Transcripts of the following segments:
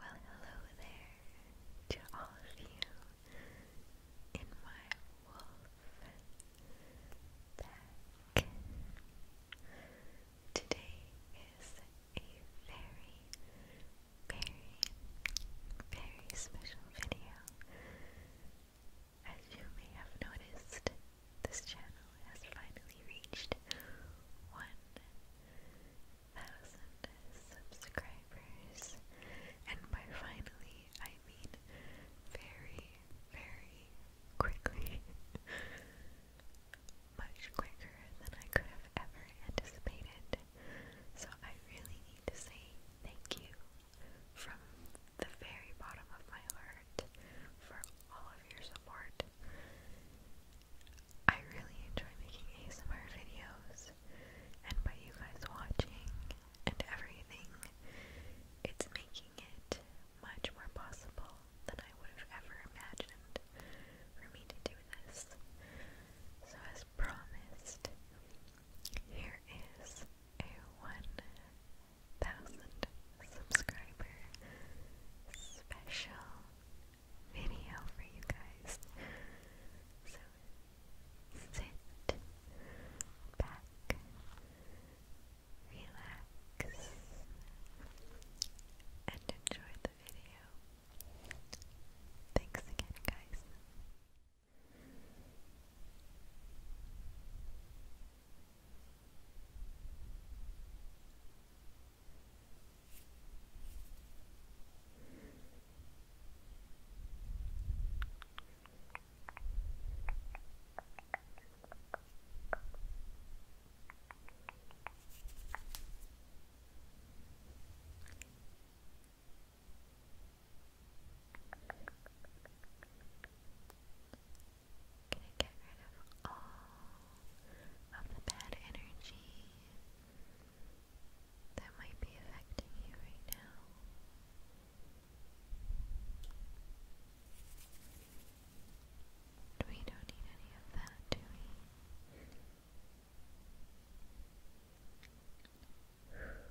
Well, hello there to all of you in my wolf pack. Today is a very, very, very special video. As you may have noticed, this channel has finally reached 1 thousand subscribers. And by finally, I mean very, very quickly. Much quicker than I could have ever anticipated. So I really need to say thank you from the very bottom of my heart for all of your support. I really enjoy making ASMR videos, and by you guys watching and everything, it's making it much more possible than I would have ever imagined for me to do this. So, as promised, here is a 1,000 subscriber special video for you guys. So sit back, relax, and enjoy the video. Thanks again, guys. Hello, Gonna get rid of all of the bad energy that might be affecting you right now. We don't need any of that, do we? Get rid of it.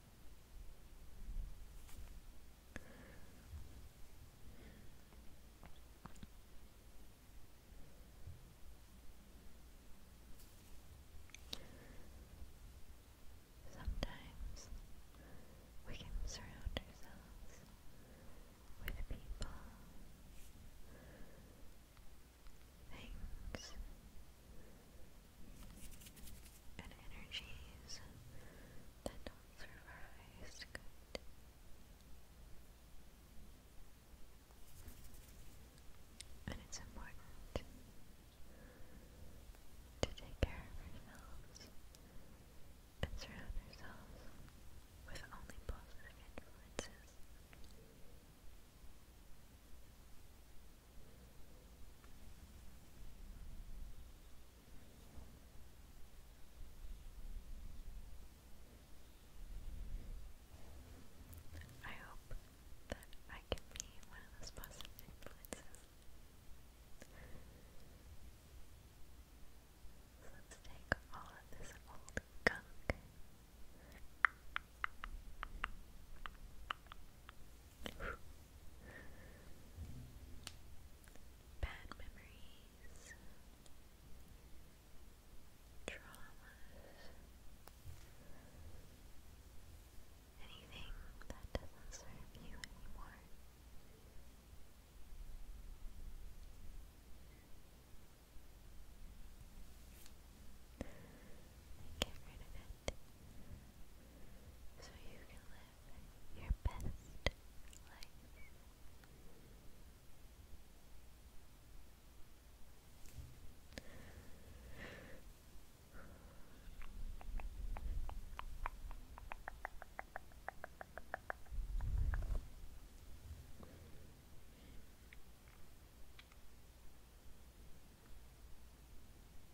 Sometimes we can surround ourselves with people, things, and energies that don't through our Good. And it's important to take care of ourselves and surround ourselves with only positive influences. I hope that I can be one of those positive influences. let's take all of this old gunk bad memories, traumas, anything that doesn't serve you anymore. Get rid of it so you can live your best life.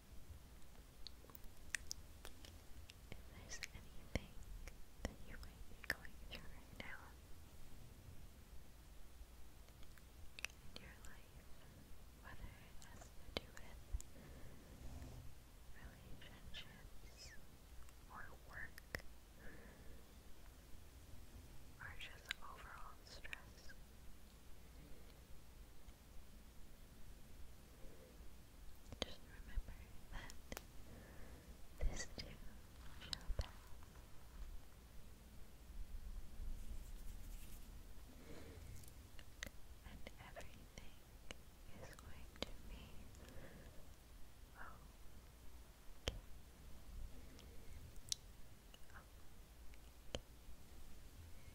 If there's anything that you might be going through right now in your life, whether it has to do with relationships or work or just overall stress, just remember that this too shall pass. And everything is going to be okay.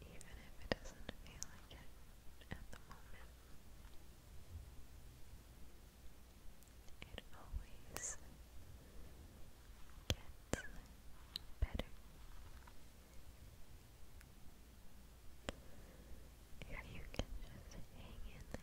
Even if it doesn't feel like it at the moment, it always gets better. If you can just hang in there,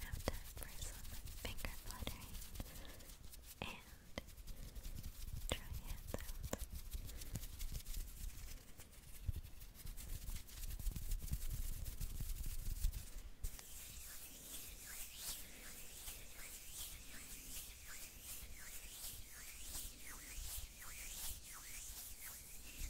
Now time for some finger fluttering and dry hand sounds. Now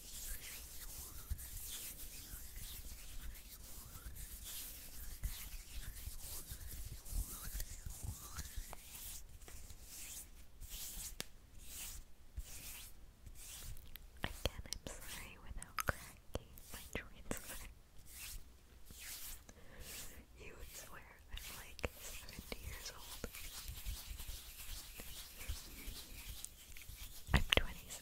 Again, I'm sorry without cracking my transfer. You would swear I'm like 70 years old. I'm 26.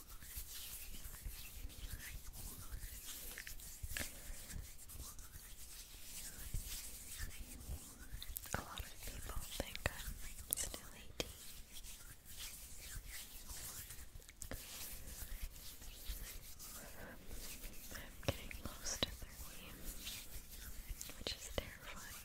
A lot of people think I'm still 18. I'm getting close to 30, which is terrifying.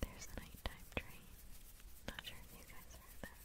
There's the nighttime train. Not sure if you guys heard that.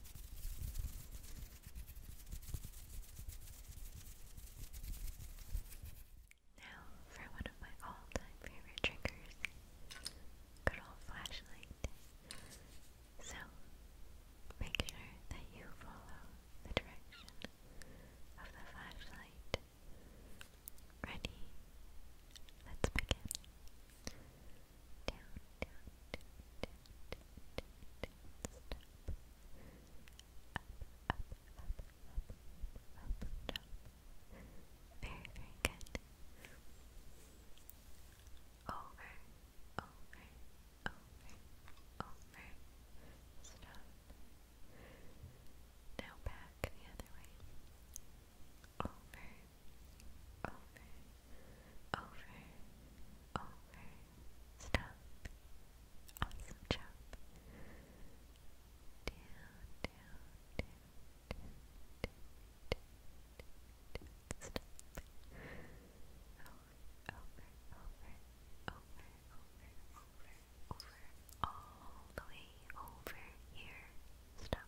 Now, for one of my all time favorite triggers good old flashlight. So, make sure that you follow the direction of the flashlight. Ready? Let's begin down, down, down, down, down, down, down, stop, up, up, up, up, up, up, top, very, very good, over, over, over, over, stop, now back the other way, over, over, over, over. Stop. Awesome job. Down, down, down, down, down, down, down. Stop. Over, over, over, over, over, over, over. All the way over here. Stop.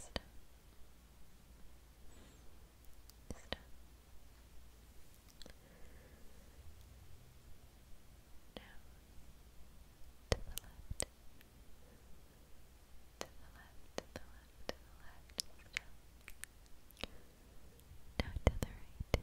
Stop. Stop. Down. To the left. To the left, to the left, to the left. Stop. Now to the right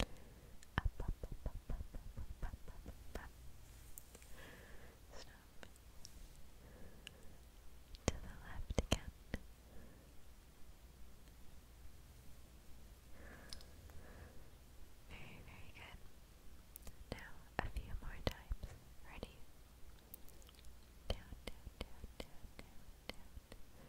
Up, up, up, up, up, up, up, up, up, Stop. To the left again. Very, very good. Now a few more times. Ready? Down, down, down, down, down, down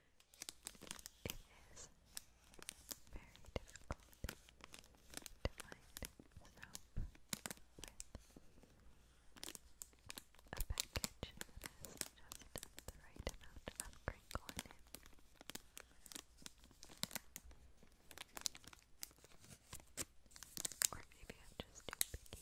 It is very difficult to find soap with a package that has just the right amount of crinkle in it. Or maybe I'm just too picky.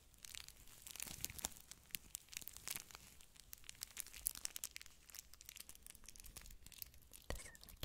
This is the cat toy, by the way. This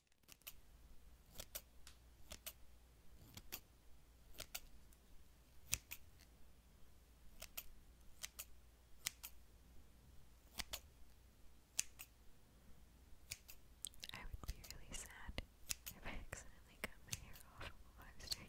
I would be really sad if I accidentally cut my hair off while I was doing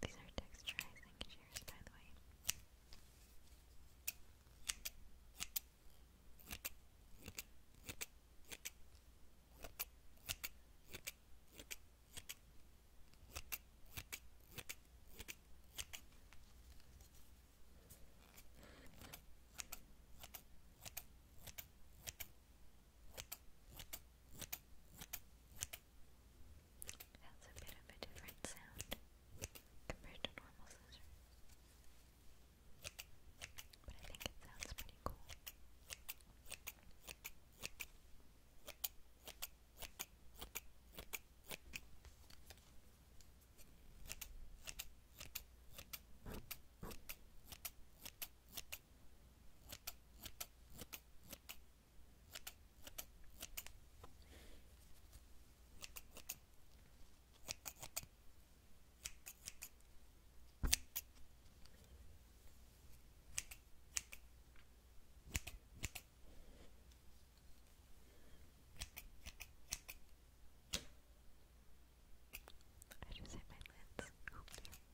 These are texturizing shears, by the way. Okay, that's a bit of a different sound compared to normal scissors. But I think it sounds pretty cool. I just hit my lids.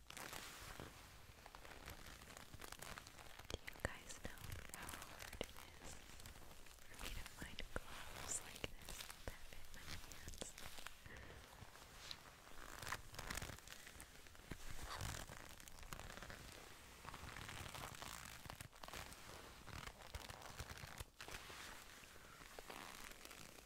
Do you guys know how hard it is for me to find gloves like this that fit my hands? I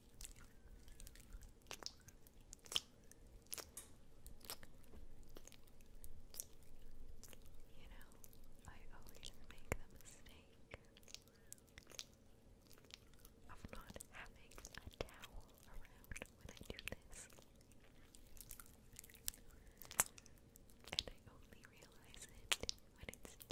You know, I always make the mistake of not having a towel around when I do this. And I only realize it when it's too late.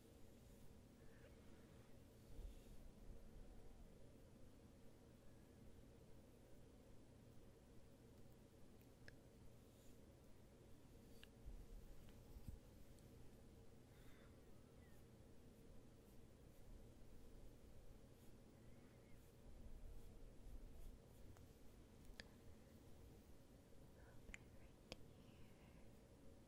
Over right here.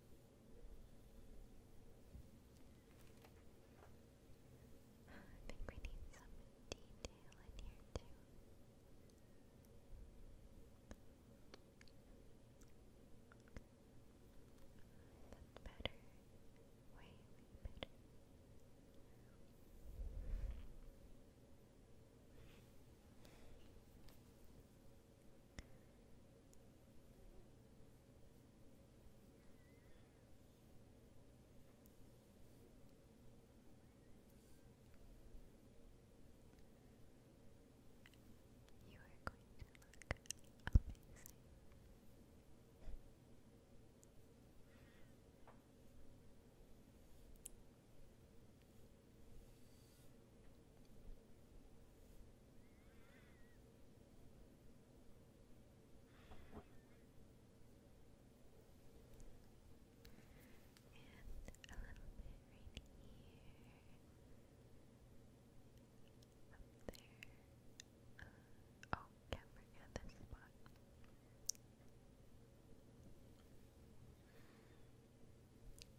I think we need some detail in here too. better. Way, better. You are going to look amazing. And a little bit right here. Up there. oh, can't forget this spot. Something's missing.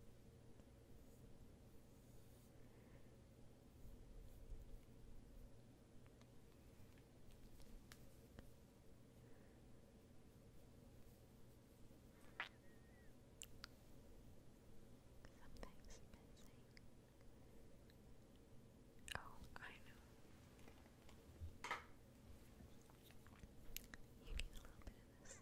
Oh, I know. You need a little bit of this.